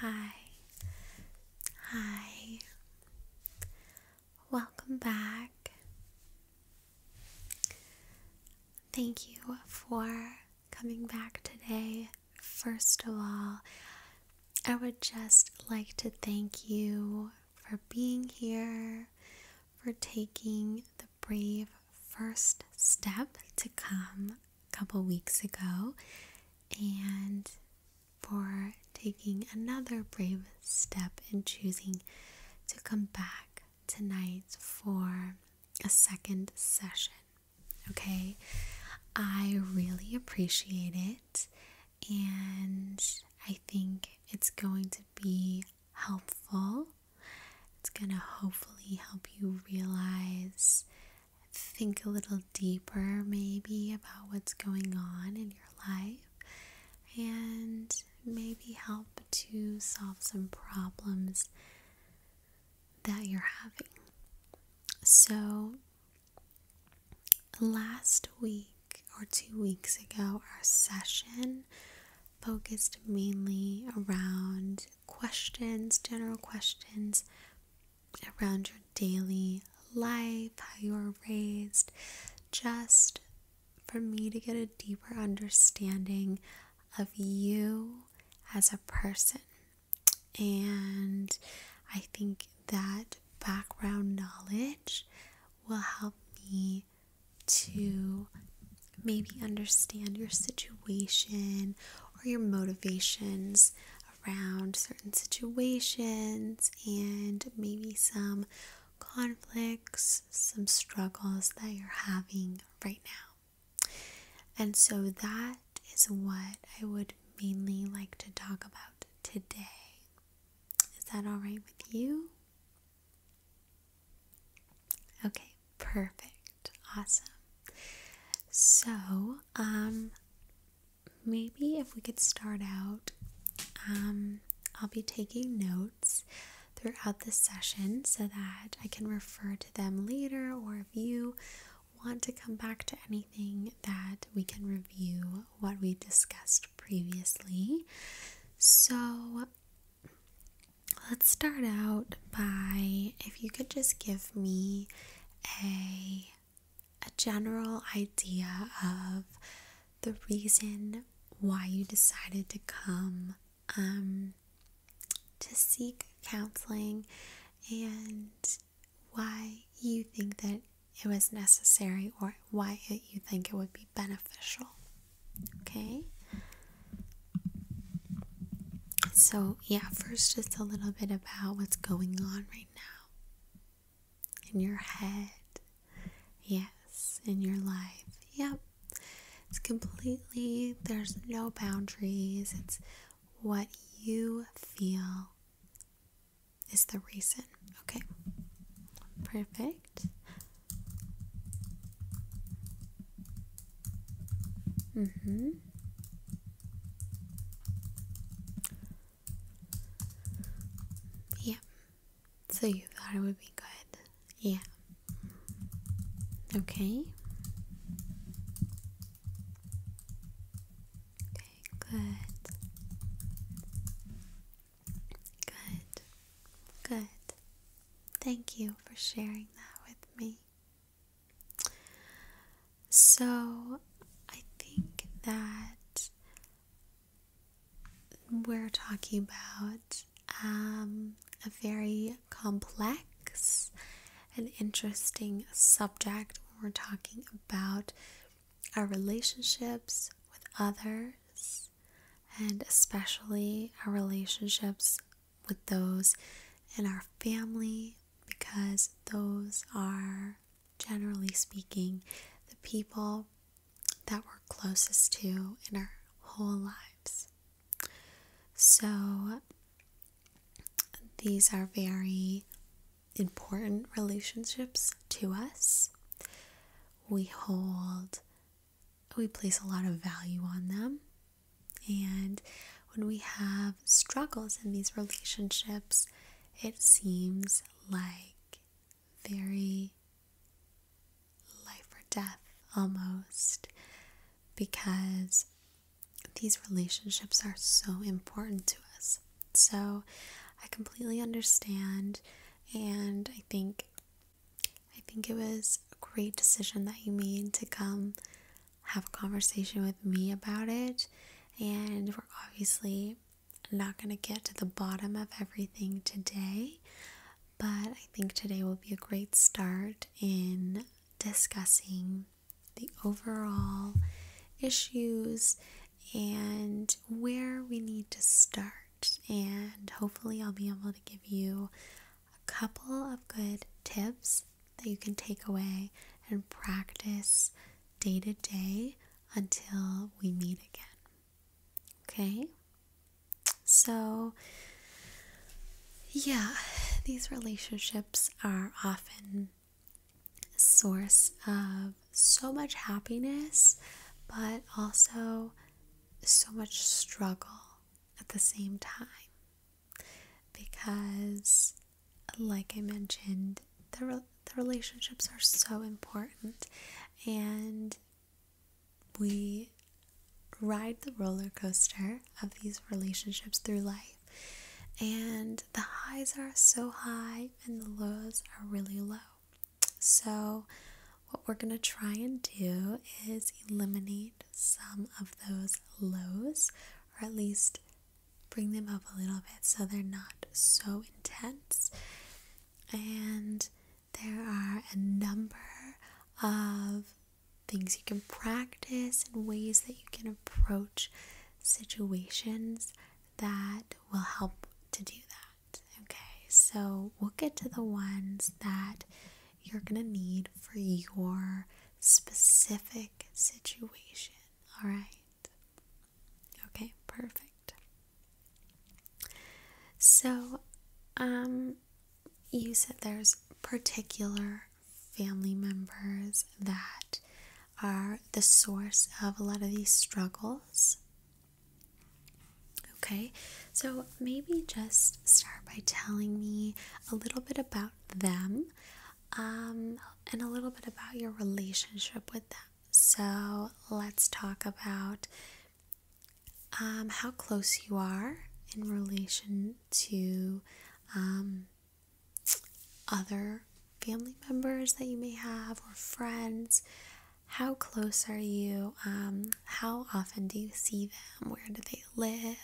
Hi, hi, welcome back. Thank you for coming back today. First of all, I would just like to thank you for being here, for taking the brave first step to come a couple weeks ago and for taking another brave step in choosing to come back tonight for a second session. Okay, I really appreciate it, and I think it's going to be helpful. It's going to hopefully help you realize think a little deeper, maybe, about what's going on in your life and maybe help to solve some problems that you're having. So, last week or two weeks ago, our session focused mainly around questions, general questions around your daily life, how you are raised, just for me to get a deeper understanding of you as a person. And I think that background knowledge will help me to maybe understand your situation or your motivations around certain situations and maybe some conflicts, some struggles that you're having right now. And so that is what I would mainly like to talk about today. Is that all right with you? Okay, perfect. Awesome. So, um, maybe if we could start out, um, I'll be taking notes throughout the session so that I can refer to them later, or if you want to come back to anything, that we can review what we discussed previously. So, Let's start out by if you could just give me a a general idea of the reason why you decided to come um, to seek counseling and why you think that it was necessary or why you think it would be beneficial. Okay? So, yeah, first, just a little bit about what's going on right now in your head. Yes, in your life. Yep. It's completely, there's no boundaries. It's what you feel is the reason. Okay. Perfect. Mm-hmm. Yeah. So you thought it would be good. Yeah. Okay. Okay, good. Good. Good. Thank you for sharing that with me. So I think that we're talking about um, a very complex and interesting subject when we're talking about our relationships with others and especially our relationships with those in our family because those are, generally speaking, the people that we're closest to in our whole lives. So, these are very important relationships to us. We hold, we place a lot of value on them. And when we have struggles in these relationships, it seems like very life or death almost because these relationships are so important to us. So I completely understand, and I think I think it was a great decision that you made to come have a conversation with me about it. And we're obviously not going to get to the bottom of everything today, but I think today will be a great start in discussing the overall issues and where we need to start. And hopefully, I'll be able to give you a couple of good tips that you can take away and practice day to day until we meet again. Okay? So, yeah, these relationships are often source of so much happiness, but also so much struggle at the same time because, like I mentioned, the, the relationships are so important and we ride the roller coaster of these relationships through life. And the highs are so high and the lows are really low. So, what we're going to try and do is eliminate some of those lows, or at least bring them up a little bit so they're not so intense. And there are a number of things you can practice and ways that you can approach situations that will help to do that. Okay, so we'll get to the ones that you're going to need for your specific situation. All right. Okay, perfect. So, um, you said there's particular family members that are the source of a lot of these struggles. Okay, so maybe just start by telling me a little bit about them um, and a little bit about your relationship with them. So let's talk about um, how close you are in relation to um, other family members that you may have or friends. How close are you? Um, how often do you see them? Where do they live?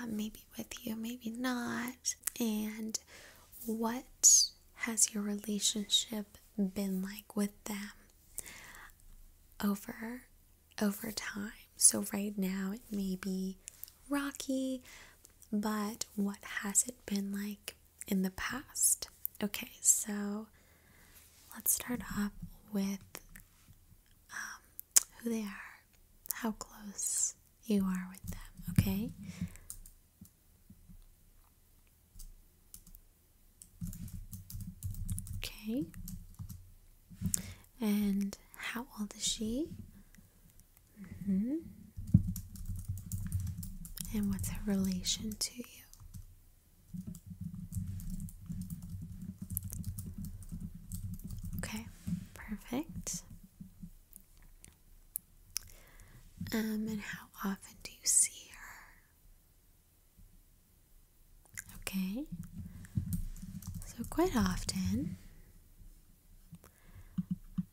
Um, maybe with you, maybe not. And what has your relationship been like with them over over time? So right now it may be rocky, but what has it been like in the past? Okay, so let's start off with um, who they are, how close you are with them, okay? Okay. And how old is she? Mm-hmm. And what's her relation to you? Okay, perfect. Um, and how often do you see her? Okay, so quite often.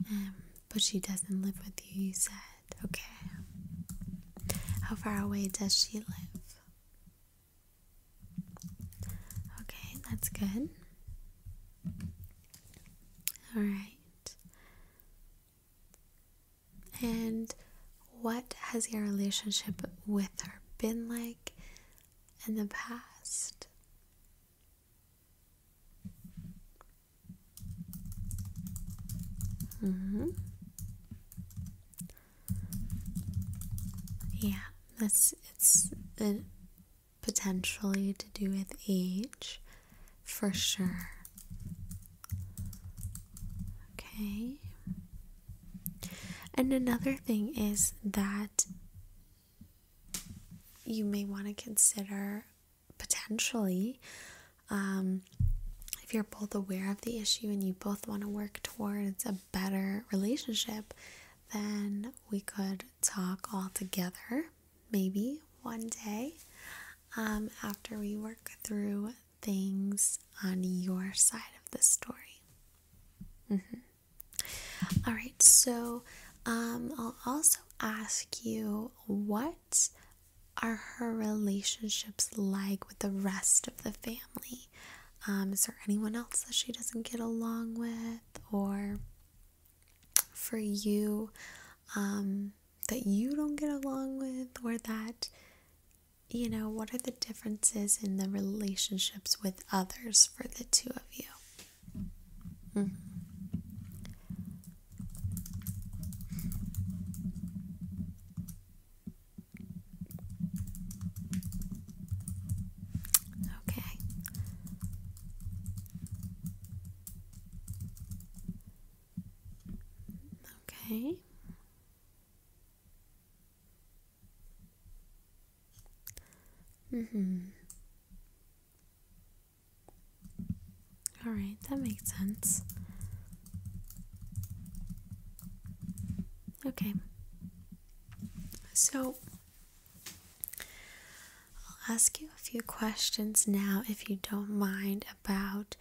Um, but she doesn't live with you, you said. Okay. How far away does she live? Okay, that's good. All right. And what has your relationship with her been like in the past? Mm-hmm. Yeah, that's it's potentially to do with age for sure. Okay. And another thing is that you may want to consider potentially um, if you're both aware of the issue and you both want to work towards a better relationship, then we could talk all together maybe one day um, after we work through things on your side of the story. Mm-hmm. right, so um, I'll also ask you what are her relationships like with the rest of the family? Um, is there anyone else that she doesn't get along with? Or for you, um, that you don't get along with? Or that, you know, what are the differences in the relationships with others for the two of you? Mm-hmm. Okay. Okay. Mm-hmm. All right, that makes sense. Okay. So I'll ask you a few questions now, if you don't mind, about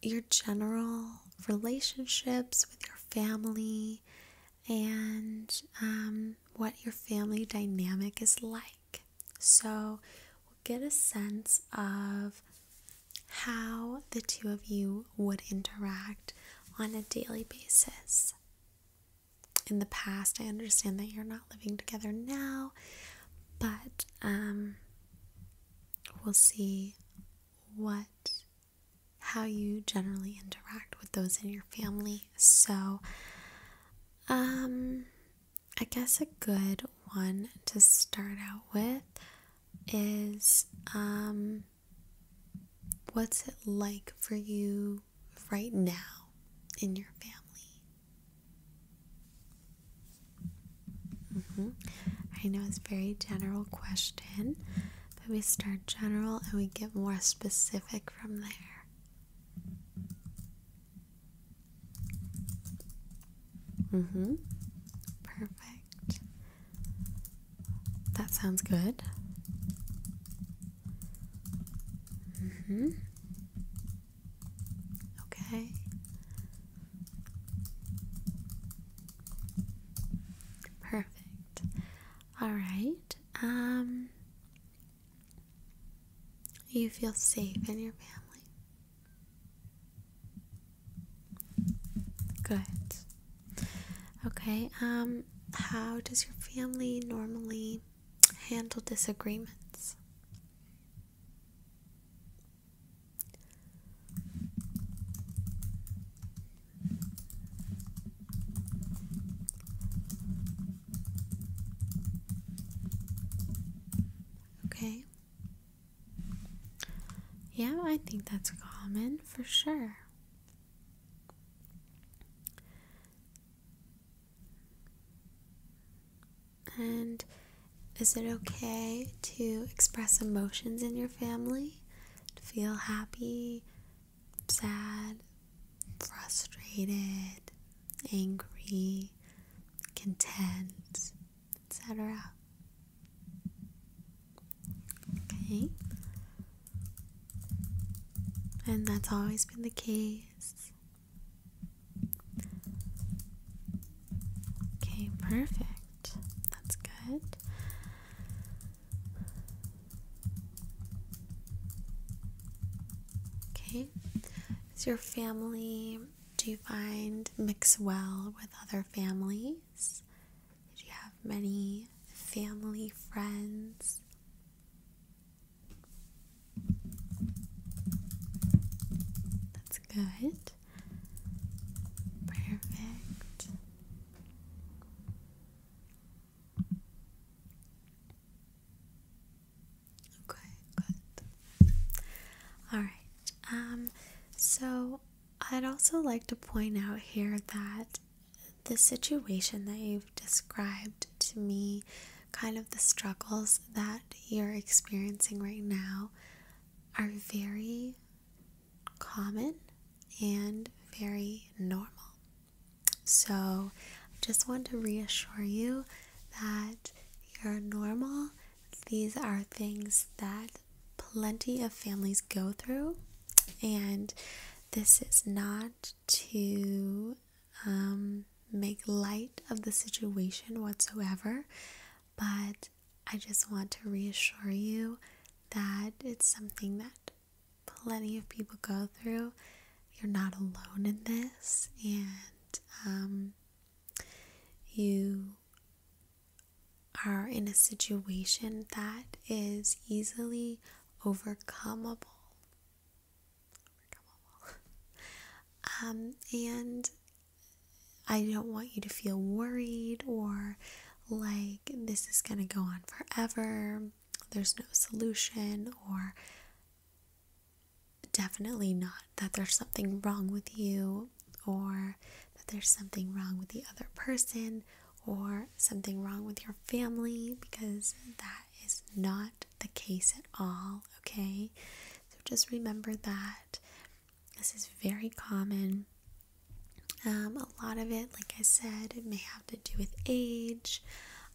your general relationships with your family and um, what your family dynamic is like. So we'll get a sense of how the two of you would interact on a daily basis. In the past, I understand that you're not living together now, but um, we'll see what how you generally interact with those in your family. So, um, I guess a good one to start out with is um, what's it like for you right now in your family? Mm-hmm. I know it's a very general question, but we start general and we get more specific from there. Mm-hmm. Perfect. That sounds good. Mm-hmm. Okay. Perfect. All right. Um you feel safe in your family. Good. Okay, um, how does your family normally handle disagreements? Okay. Yeah, I think that's common for sure. And is it okay to express emotions in your family? To feel happy, sad, frustrated, angry, content? etc. Okay, and that's always been the case. Okay, perfect. That's good. Okay, is your family? Do you find mix well with other family? place? Did you have many family, friends? That's good. Perfect. Okay, good. All right. Um so I'd also like to point out here that the situation that you've described to me, kind of the struggles that you're experiencing right now, are very common and very normal. So, I just want to reassure you that you're normal these are things that plenty of families go through, and this is not to um, make light of the situation whatsoever, but I just want to reassure you that it's something that plenty of people go through. You're not alone in this, and um, you are in a situation that is easily overcomeable, um, and I don't want you to feel worried or like this is going to go on forever, there's no solution, or definitely not that there's something wrong with you or that there's something wrong with the other person or something wrong with your family because that is not the case at all, okay? So just remember that this is very common. Um, a lot of it, like I said, it may have to do with age.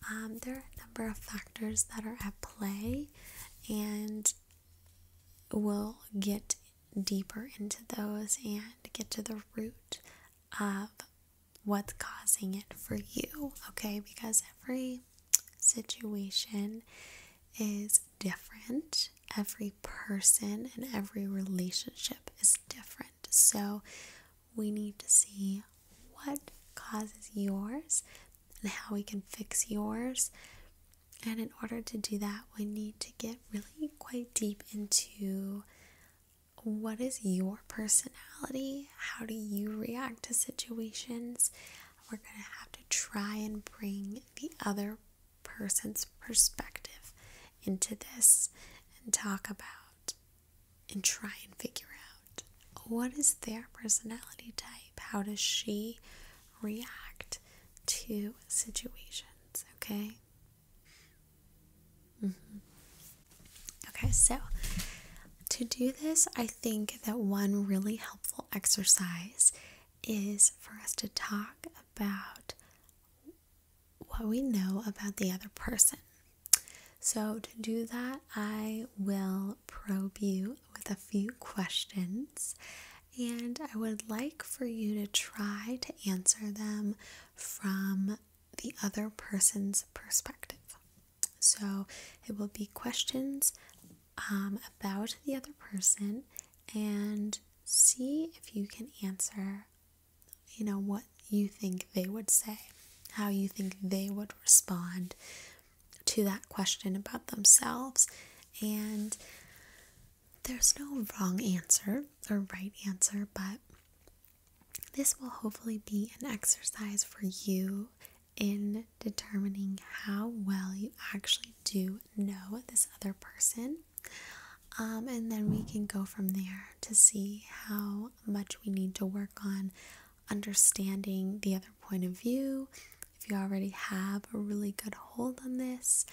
Um, there are a number of factors that are at play, and we'll get deeper into those and get to the root of what's causing it for you, okay? Because every situation is different, every person and every relationship is different. So we need to see what causes yours and how we can fix yours and in order to do that, we need to get really quite deep into what is your personality? How do you react to situations? We're going to have to try and bring the other person's perspective into this and talk about and try and figure out what is their personality type. How does she react to situations? Okay. Mm-hmm. Okay, so to do this, I think that one really helpful exercise is for us to talk about what we know about the other person. So, to do that, I will probe you with a few questions, and I would like for you to try to answer them from the other person's perspective. So it will be questions um, about the other person and see if you can answer, you know, what you think they would say, how you think they would respond to that question about themselves. And there's no wrong answer or right answer, but this will hopefully be an exercise for you in determining how well you actually do know this other person. Um, and then we can go from there to see how much we need to work on understanding the other point of view if you already have a really good hold on this,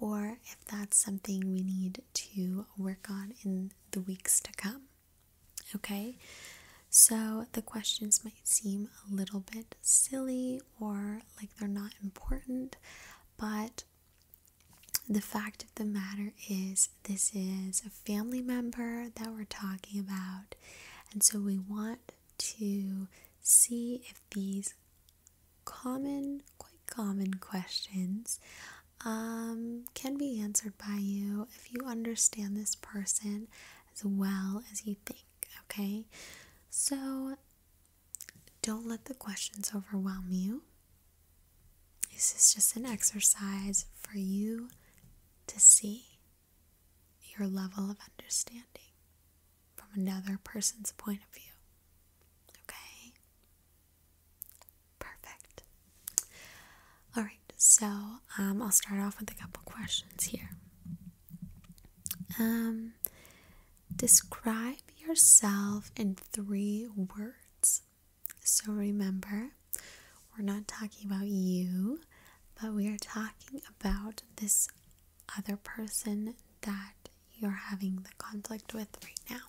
or if that's something we need to work on in the weeks to come. Okay, so the questions might seem a little bit silly or like they're not important, but the fact of the matter is, this is a family member that we're talking about, and so we want to see if these common, quite common questions um, can be answered by you if you understand this person as well as you think, okay? So don't let the questions overwhelm you. This is just an exercise for you to see your level of understanding from another person's point of view. Okay? Perfect. All right, so um, I'll start off with a couple questions here. Um, describe yourself in three words. So remember, we're not talking about you, but we are talking about this other person that you're having the conflict with right now.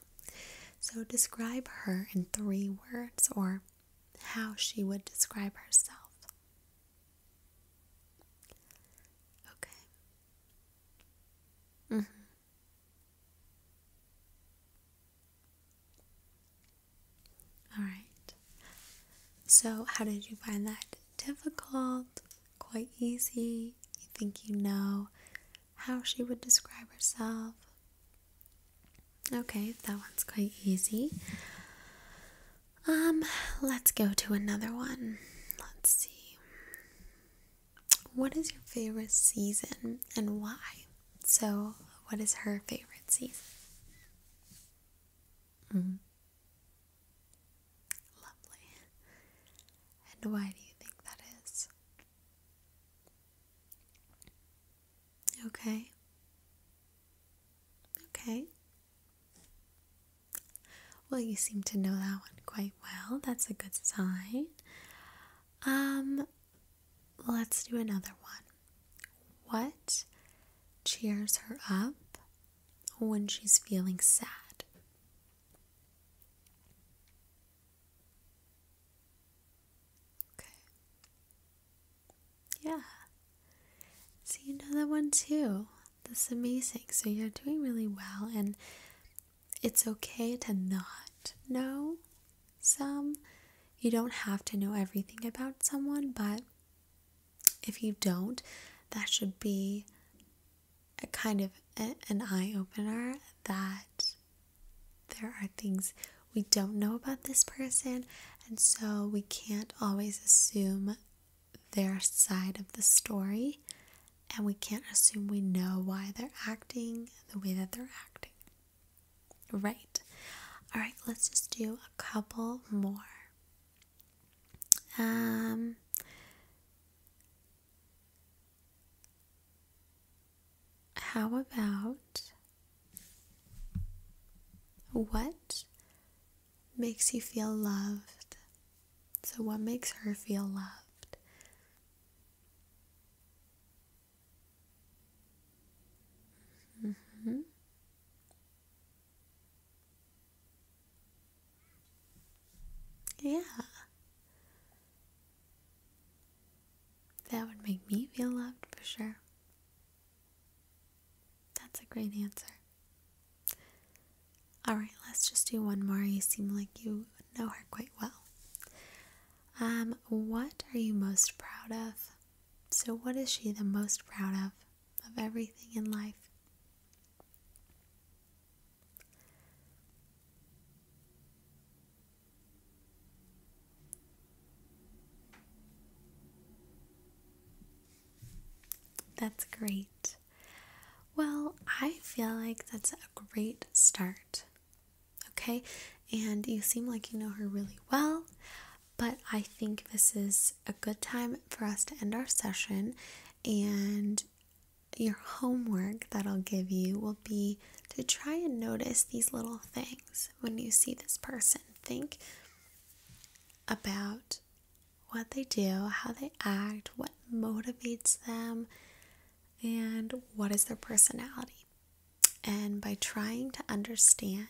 So describe her in three words or how she would describe herself. Okay. Mm-hmm. right. So, how did you find that difficult? quite easy. You think you know how she would describe herself. Okay, that one's quite easy. Um, let's go to another one. Let's see. What is your favorite season and why? So, what is her favorite season? Mm. Lovely. And why do you think that is? Okay. Okay. Well, you seem to know that one quite well. That's a good sign. Um, let's do another one. What cheers her up when she's feeling sad. Okay. Yeah. So you know that one too. That's amazing. So you're doing really well, and it's okay to not know some. You don't have to know everything about someone, but if you don't, that should be a kind of an eye opener that there are things we don't know about this person, and so we can't always assume their side of the story, and we can't assume we know why they're acting the way that they're acting. Right. All right, let's just do a couple more. Um, how about what makes you feel loved? So, what makes her feel loved? Mm-hmm. Yeah. That would make me feel loved for sure. That's a great answer. Alright, let's just do one more. You seem like you know her quite well. Um, what are you most proud of? So, what is she the most proud of? Of everything in life? That's great. Well, I feel like that's a great start. Okay, and you seem like you know her really well. But I think this is a good time for us to end our session, and your homework that I'll give you will be to try and notice these little things when you see this person. Think about what they do, how they act, what motivates them, and what is their personality. And by trying to understand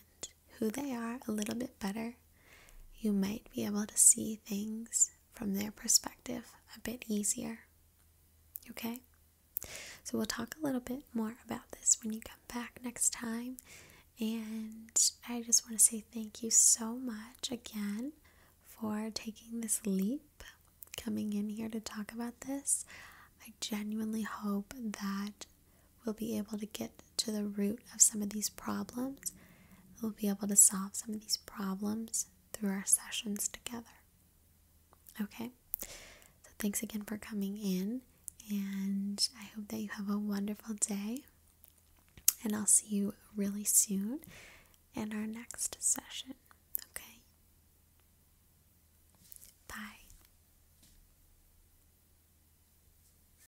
who they are a little bit better, you might be able to see things from their perspective a bit easier. Okay? So we'll talk a little bit more about this when you come back next time. And I just want to say thank you so much again for taking this leap, coming in here to talk about this. I genuinely hope that we'll be able to get to the root of some of these problems. We'll be able to solve some of these problems through our sessions together. Okay? So, thanks again for coming in, and I hope that you have a wonderful day. And I'll see you really soon in our next session. Okay? Bye.